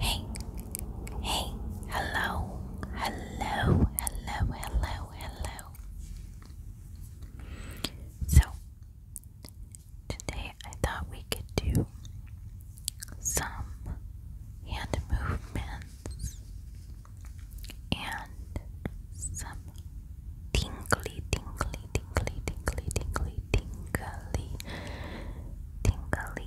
Hey, hey, hello, hello, hello, hello, hello. So, today I thought we could do some hand movements and some tingly, tingly, tingly, tingly, tingly, tingly, tingly,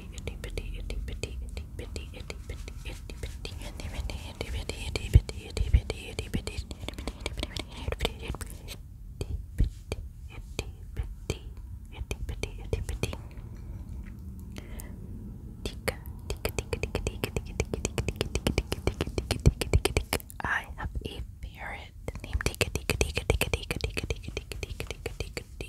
itty itty bitty itty bitty itty bitty itty bitty itty bitty itty bitty itty bitty itty bitty itty bitty itty bitty I have a ferret named Tika Tika Tika Tika Tika Tika Tika Tika Tika Tika Tika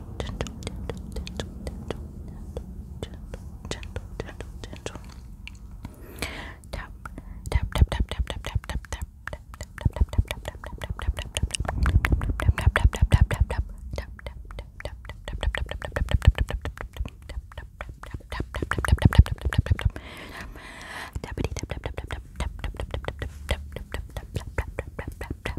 gentle, gentle, gentle, gentle, gentle, gentle, gentle, gentle. Tap, tap, tap, tap, tap, tap, tap, tap, tap, tap, tap, tap, tap, tap,